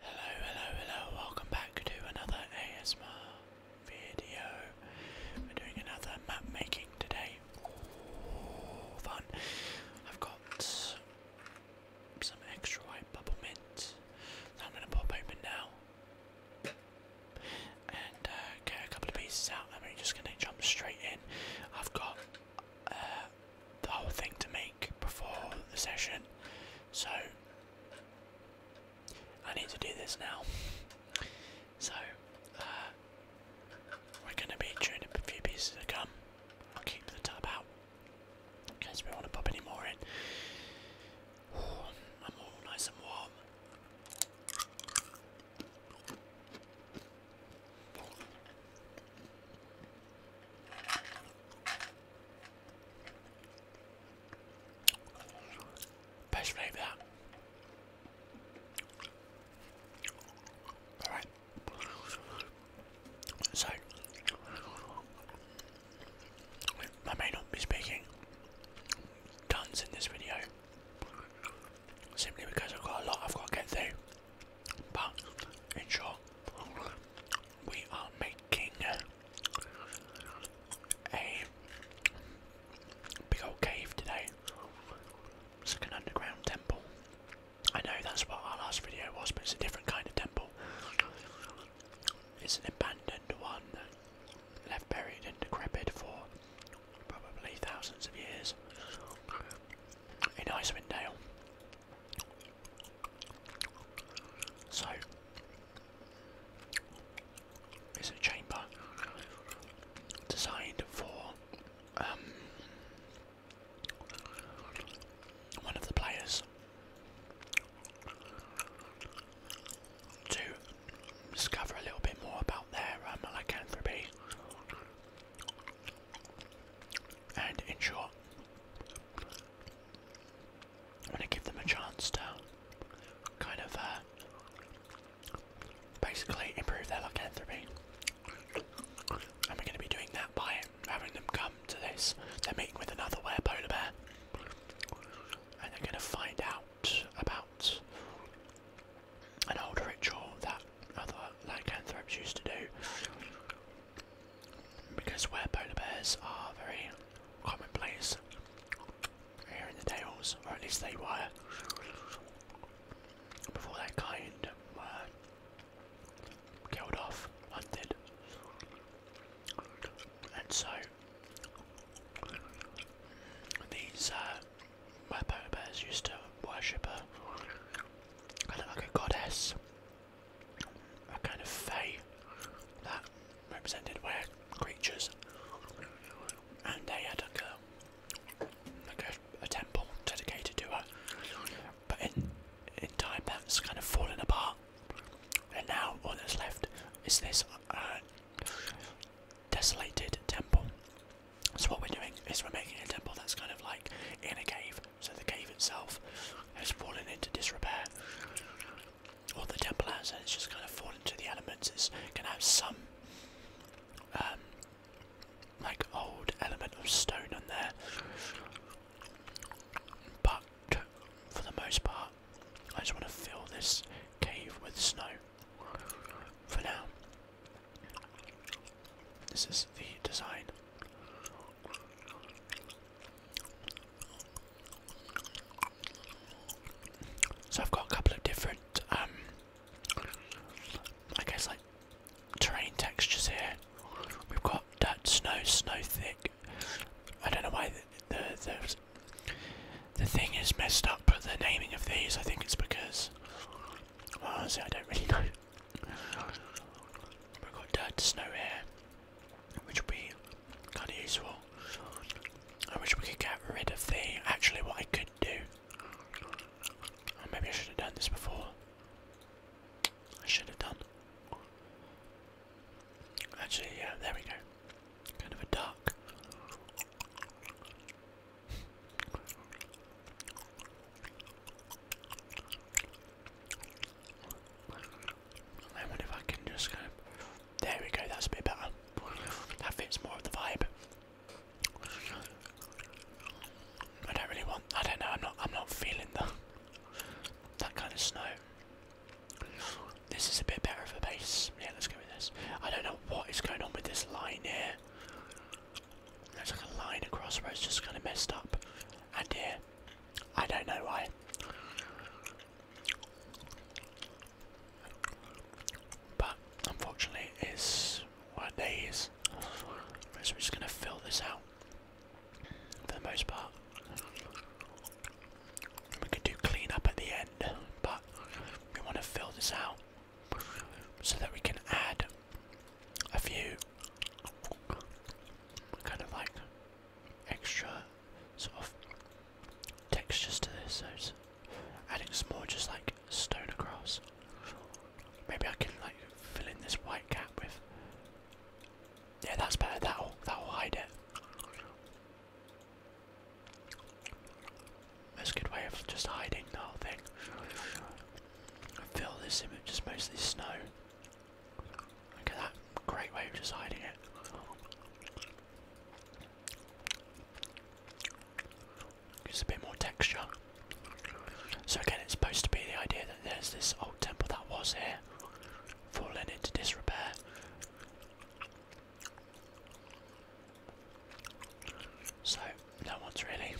Hello, hello, hello, welcome back to another ASMR video. We're doing another map making today. fun. I've got some extra white bubble mint I'm going to pop open now. And uh, get a couple of pieces out, I'm just going to jump straight in. I've got uh, the whole thing to make before the session, so I need to do this now. So, uh, we're going to be chewing a few pieces of gum. I'll keep the tub out in case we want to pop any more in. I'm all nice and warm. Best flavour Alright. So, I may not be speaking tons in this video simply because I've got a lot I've got to get through. But in short, we are making a big old cave today. It's underground temple. I know that's what our last video was, but it's a different kind of temple. It's an abandoned one, left buried and decrepit for probably thousands of years in Icewind Dale. So it's a chamber designed for um, one of the players to discover a little bit more about their um, and in I am going to give them a chance to kind of uh, basically improve their lycanthropy. And we're going to be doing that by having them come to this. They're meeting with another polar bear. And they're going to find out about an old ritual that other lycanthropes used to do because where polar bears are very common place here in the Dales, or at least they were before their kind killed off, hunted, and so these uh, where polar bears used to worship her, kind of like a goddess a kind of fae that represented were creatures, and they had a temple dedicated to her. But in in time, that's kind of fallen apart, and now all that's left is this uh, desolated temple. So what we're doing is we're making a temple that's kind of like in a cave. So the cave itself has fallen into disrepair, all the temple has, and it's just kind of fallen to the elements. It's gonna have some um, like old element of stone on there, but for the most part, I just want to fill this cave with snow for now. This is the design. So I've got a couple of different, um, I guess like terrain textures here. We've got that snow, snow thick. I don't know why the the the, thing is messed up. But the naming of these, I think it's because well, honestly, I don't really know. We've got dirt snow here, which will be kind of useful. I wish we could get rid of the. Actually, what I could do. Oh, maybe I should have done this before. I should have done. Actually, yeah, there we go. Kind of a duck. I wonder if I can just There we go, that's a bit better. That fits more of the vibe. I don't really want. I don't know. I'm not. I'm not feeling the that kind of snow. This is a bit better of a base. Yeah, let's go with this. I don't know what is going on with this line here. There's like a line across where it's just kind of messed up, and here, I don't know why. But unfortunately, it's what day So we're just going to fill this out for the most part. We could do clean up at the end, but we want to fill this out so that we can add a few kind of like extra sort of textures to this, so it's adding some more just like stoner grass. Maybe I can like fill in this white cap with. Yeah, that's better. That'll that'll hide it. That's a good way of just hiding the whole thing. I feel this image just mostly snow. Look at that great way of deciding it. Just a bit more texture. So again, it's supposed to be the idea that there's this old temple that was here, fallen into disrepair. So no one's really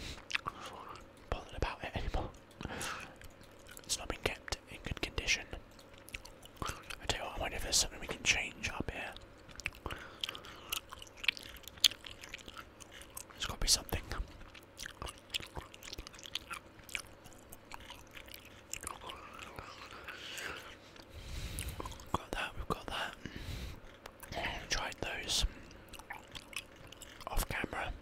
bothered about it anymore. It's not been kept in good condition. I tell you I wonder if there's something we can change up here. There's got to be something. got that, we've got that. tried those off camera.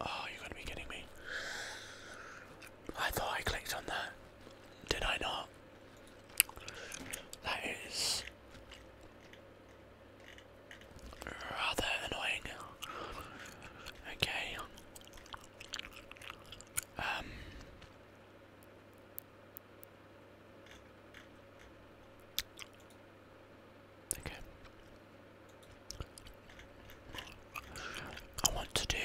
Oh, you gotta be kidding me. I thought I clicked on that. Did I not? That is rather annoying. Okay. Um Okay. I want to do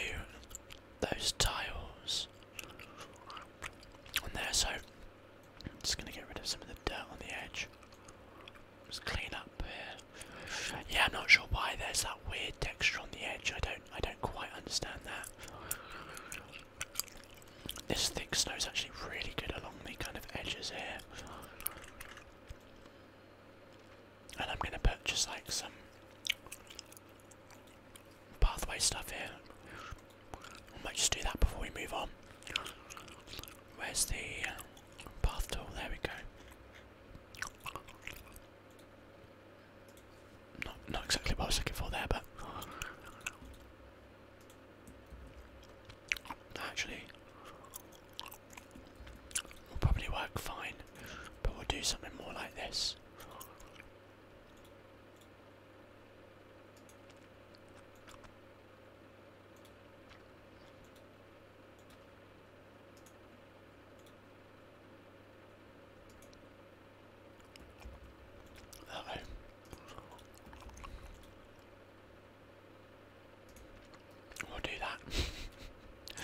those tiles on there, so I'm just going to get rid of some of the dirt on the edge. Just clean up here. Yeah, I'm not sure why there's that weird texture on the edge. I don't, I don't quite understand that. This thick snow is actually really good along the kind of edges here. And I'm going to put just like some pathway stuff here. I might just do that before we move on. Where's the path tool? There we go. not exactly what I was looking for there, but Actually, will probably work fine, but we'll do something more like this. Uh We'll do that.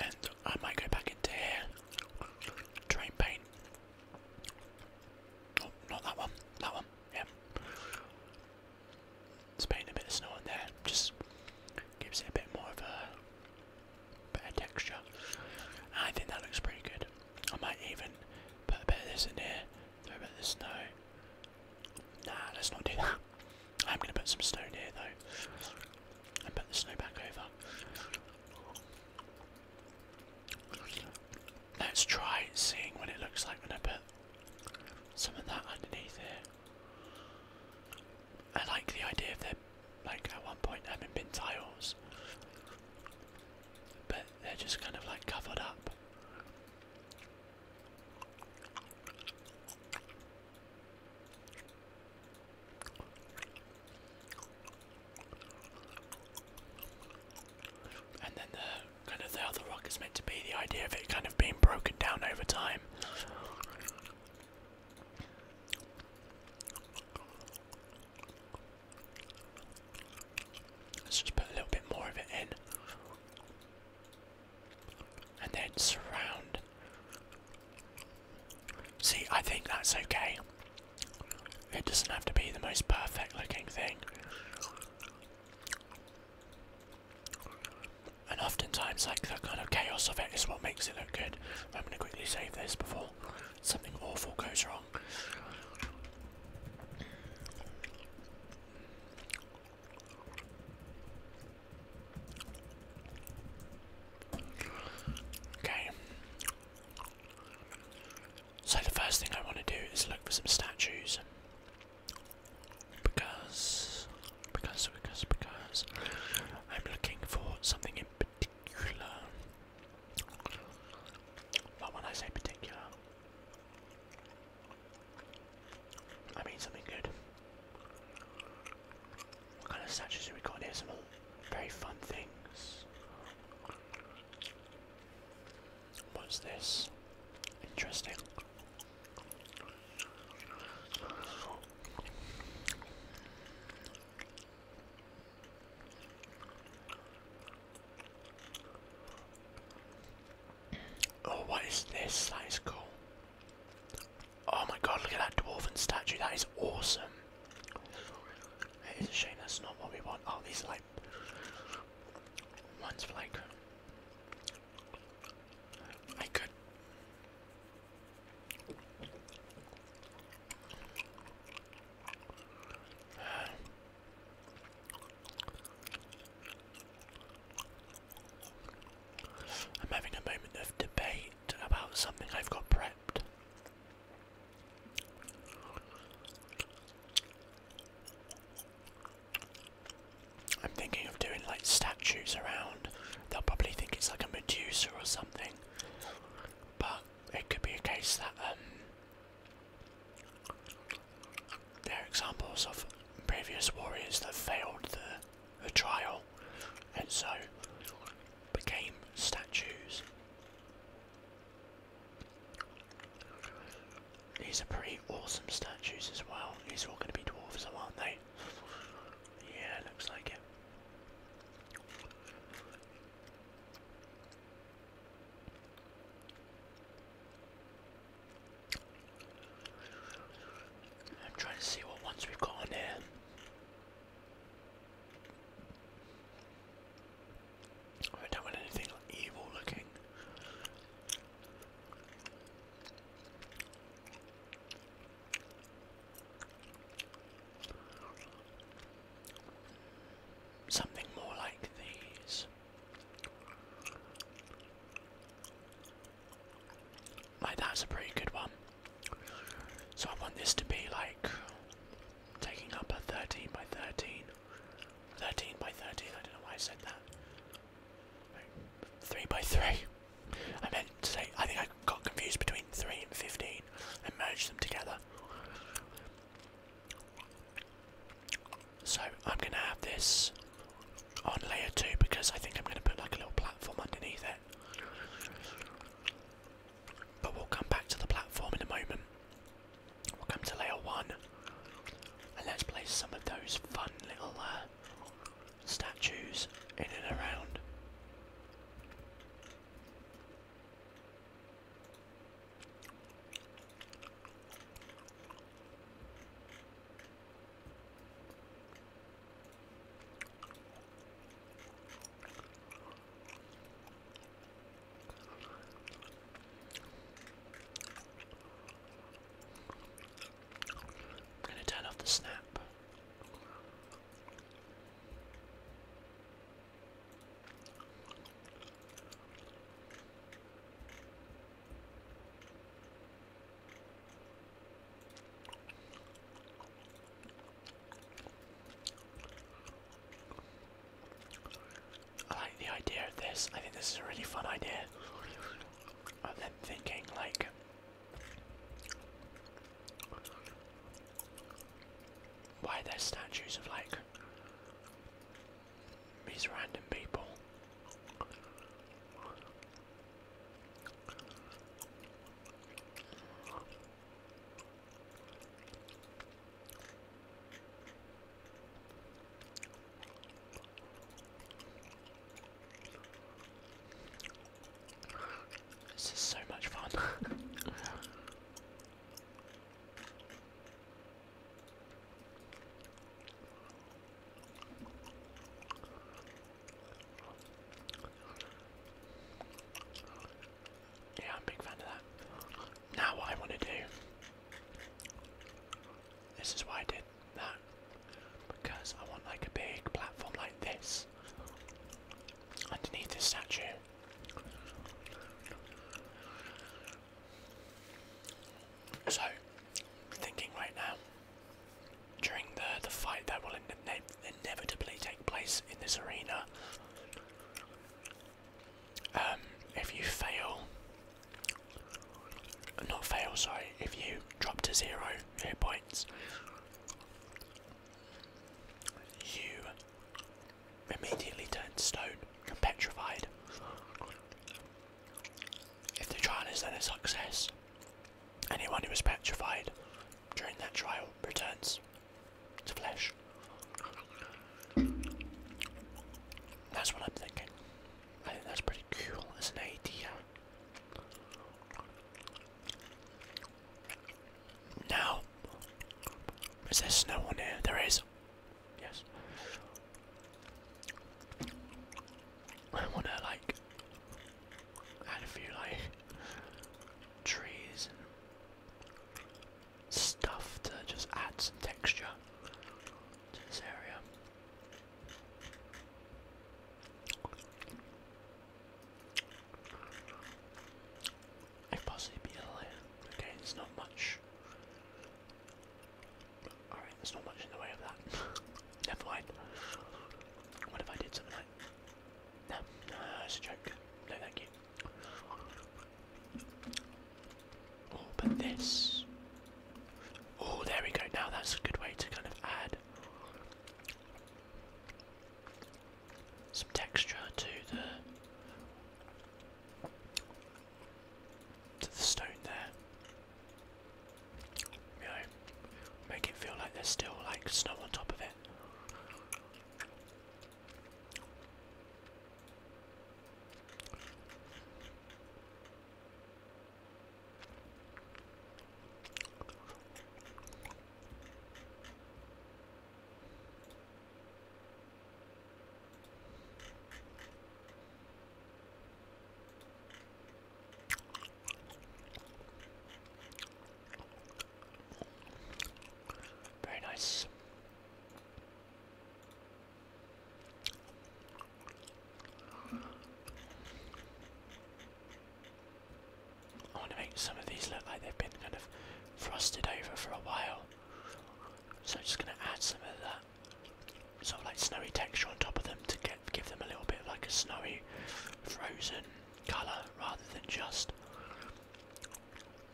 and I might go back into here. Try paint. Oh, not that one. That one. Yeah. Let's a bit of snow in there. Just gives it a bit more of a better texture. I think that looks pretty good. I might even put a bit of this in here, throw a bit of the snow. Nah, let's not do that. I'm gonna put some stone here though, and put the snow back over. Let's try seeing what it looks like when I put some of that underneath here. I like the idea of there, like at one point having been tiles but they're just kind of like covered up. And then the kind of the other rock is meant to be the idea of it kind of being broken down over time. Let's just put a little bit more of it in. And then surround. See, I think that's okay. It doesn't have to be the most perfect looking thing. And oftentimes, like the kind of chaos of it is what makes it look good. I'm going to quickly save this before something awful goes wrong. Okay. So the first thing I want to do is look for some statues. Because, because, because, because, I'm looking for something in particular. But when I say particular, I mean something good. What kind of statues have we got here? Some very fun things. What's this? Interesting. Oh, what is this? That is cool. Oh my god, look at that dwarven statue. That is awesome. It is a shame that's not what we want. Oh, these like ones like. I could. I'm having a moment of debate about something I've got prepped. I'm thinking of doing like statues around. They'll probably think it's like a Medusa or something. But it could be a case that um, there are examples of previous warriors that failed the, trial and so became statues. These are pretty awesome statues as well. These are all going to be dwarves, aren't they? Yeah, looks like it. I'm trying to see what ones we've got on here. I don't want anything evil looking. Something more like these. Like that's a pretty good one. So I want this to be like taking up a 13 by 13. 13 by 13, I don't know why I said that. Three by three. I meant to say I think I got confused between three and fifteen and merged them together. So I'm gonna have this on layer two because I think I'm gonna put like a little platform underneath it. But we'll come back to the platform in a moment. We'll come to layer one and let's place some of those fun little uh, statues in and around. I'm going to turn off the snap. I like the idea of this. I think this is a really fun idea. And then thinking like why are there statues of like these random people. This is so much fun. Yeah, I'm a big fan of that. Now what I want to do, this is why I did that, because I want like a big platform like this, underneath this statue. So, thinking right now, during the the fight that will inevitably take place in this arena, um, if you fail, not fail, sorry, if you drop to zero hit points, you immediately turned stone and petrified. If the trial is then a success, anyone who was petrified during that trial returns to flesh. That's what I'm thinking. I think that's pretty cool as an idea. Now, is there snow on here? There is. Yes. I wanna like add a few like trees and stuff to just add some texture to this area. I possibly be ill Okay, it's not much. Alright, there's not much in the way of that. Never mind. What if I did something like no, no, it's a joke. No, thank you. Oh, but this. Oh, there we go. Now that's a good way to kind of add some texture to the to the stone there. You know, make it feel like there's still like snow on top of it. Very nice. I want to make some of these look like they've been kind of frosted over for a while. So I'm just going to add some of that sort of like snowy texture on top of them to get give them a little bit of like a snowy frozen colour rather than just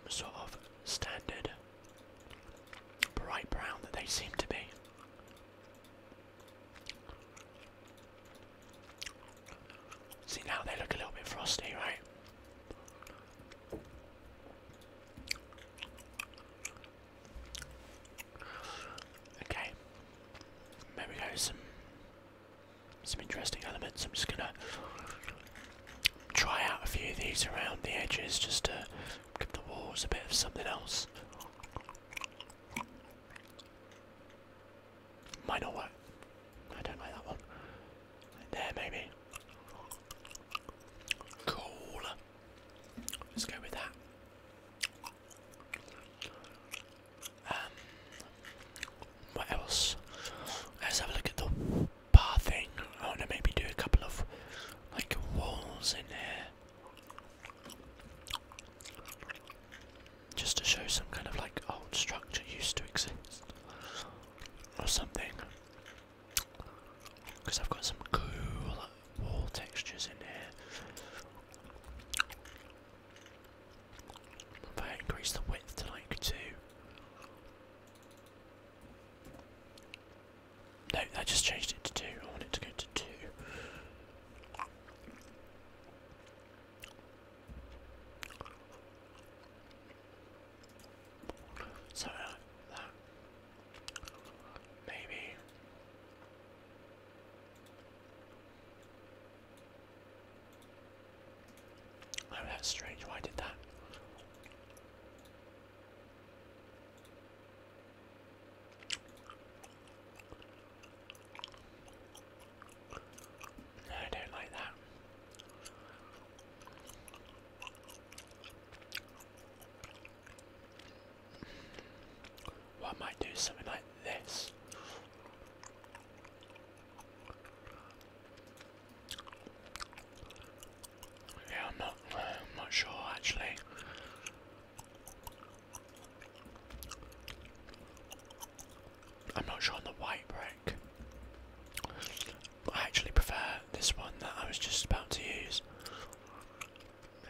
sort of standard bright brown that they seem to be. See now they look a little bit frosty, right? Okay, there we Some some interesting elements. I'm just gonna try out a few of these around the edges just to give the walls a bit of something else. Might not work. I don't like that one. there, maybe. Cool. Let's go with that. Um, what else? Let's have a look at the bar thing. I want to maybe do a couple of like walls in there, Just to show some kind of like old structure used to exist or something. Because I've got some cool wall textures in here. If I increase the width to like 2. No, I just changed it to 2. I want to go to 2. So, uh, Maybe. Oh, that's strange. Why did that? I don't like that. Well, I might do something like this. Yeah, I'm not. I'm not sure actually. I'm not sure on the white brick. I actually prefer this one that I was just about to use.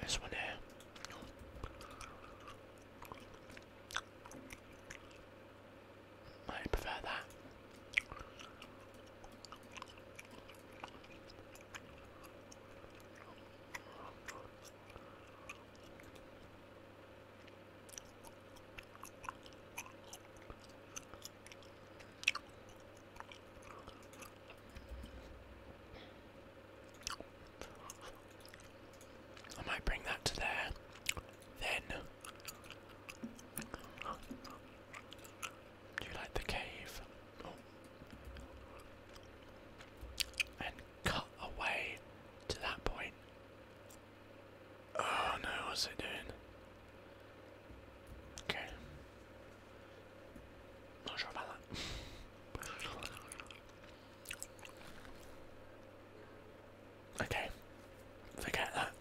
This one here. I prefer that. I might bring that to there. Then, do you like the cave? Oh. And cut away to that point. Oh no, what's it doing? Ok. Non, je vais pas là. Okay, forget that.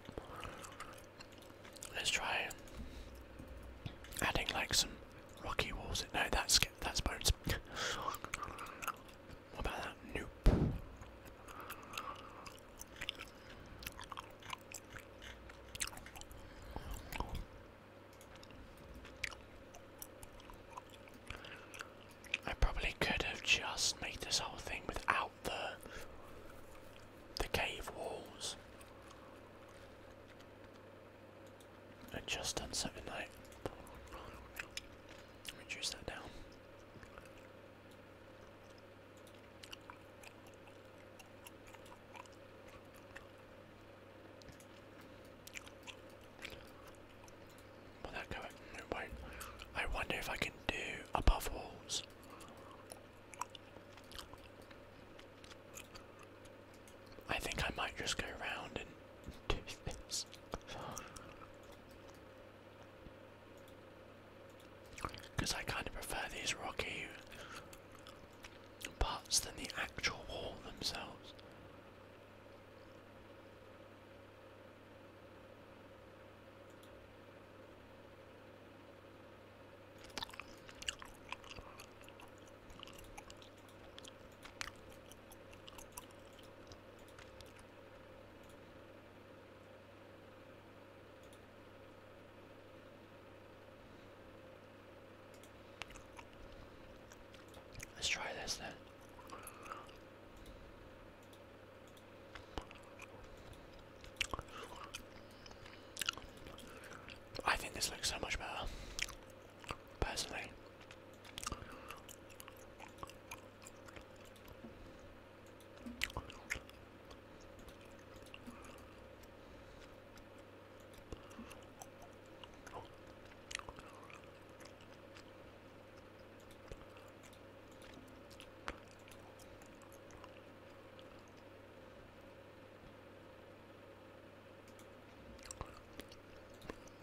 Let's try adding like some rocky walls. No, that's that's bones. what about that? Nope. I probably could have just made this whole thing without the the cave walls. And just done something like reduce that down that go? No I wonder if I can do above walls. I think I might just go around and do this. Because I kind of prefer these rocky parts than the actual wall themselves. Let's try this then. I think this looks so much better, personally.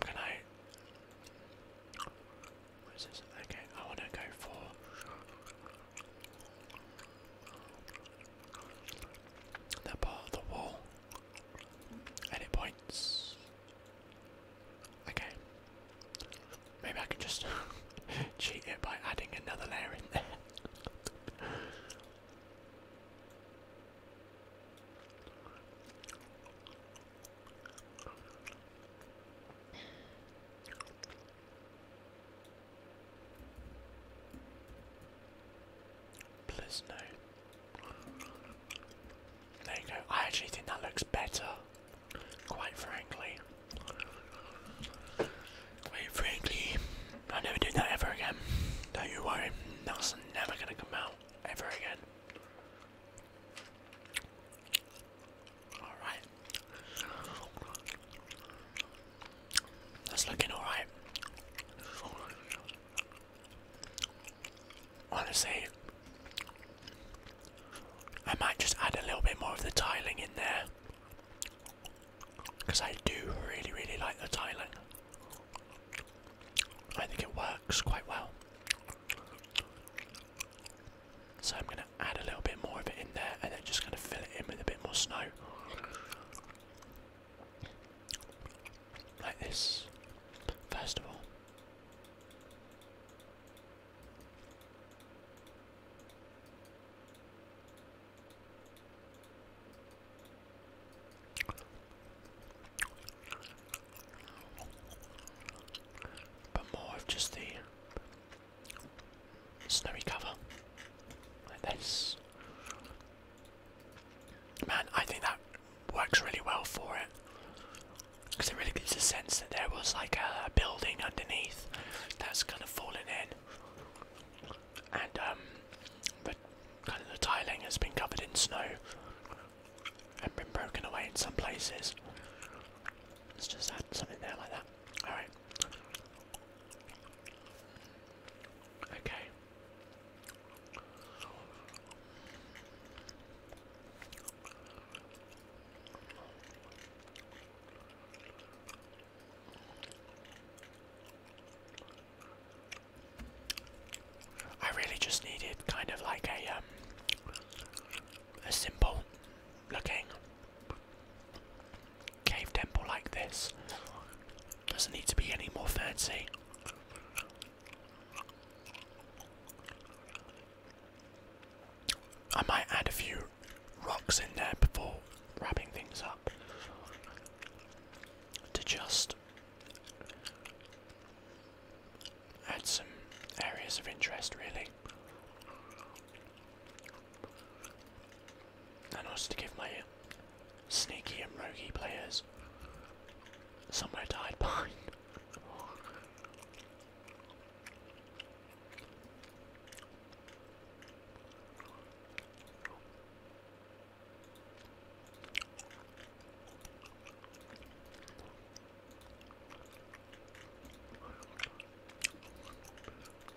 Can I? Okay, I want to go for. That part of the wall. And points. Okay. Maybe I can just cheat it by adding another layer in there. Please no. There you go. I actually think that looks better, quite frankly. Quite frankly, I'll never do that ever again. Don't you worry, that's never gonna come out ever again. Alright. That's looking alright. Honestly, I might just add a little bit more of the tiling in there. Because I do really, really like the tiling. I think it works quite well. So I'm going to add a little bit more of it in there and then just going to fill it in with a bit more snow. Like this, first of all. But more of just the snowy cover, like this. Man, I think that works really well for it because it really gives a sense that there was like a building underneath that's kind of fallen in, and um, the kind of the tiling has been covered in snow and been broken away in some places. Let's just add something there like that. All right. Okay. I really just needed kind of like a um, a simple looking cave temple like this. Doesn't need to be any more fancy. I might add a few rocks in there before wrapping things up to just add some areas of interest, really and also to give my sneaky and roguey players somewhere to hide behind.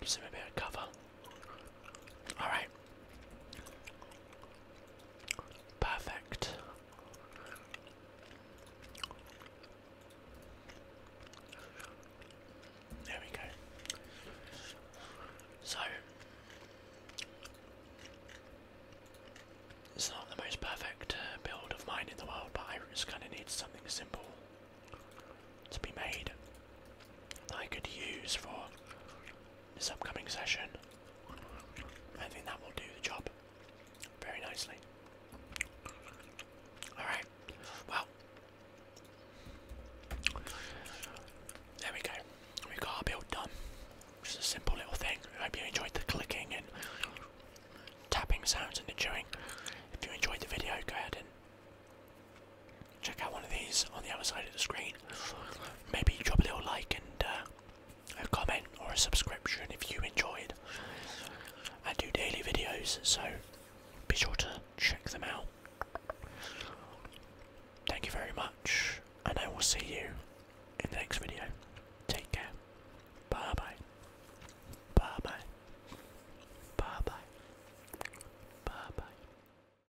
Give a bit of cover. All right. Perfect. There we go. So, it's not the most perfect uh, build of mine in the world, but I just kind of need something simple to be made that I could use for this upcoming session. I think that will do the job very nicely. Alright, well, there we go. We got our build done. Just a simple little thing. I hope you enjoyed the clicking and tapping sounds and the chewing. If you enjoyed the video, go ahead and check out one of these on the other side of the screen. Maybe drop a little like and uh, a comment or a subscription if you enjoyed. I do daily videos, so be sure to check them out. Thank you very much, and I will see you in the next video. Take care. Bye bye. Bye bye. Bye bye. Bye bye.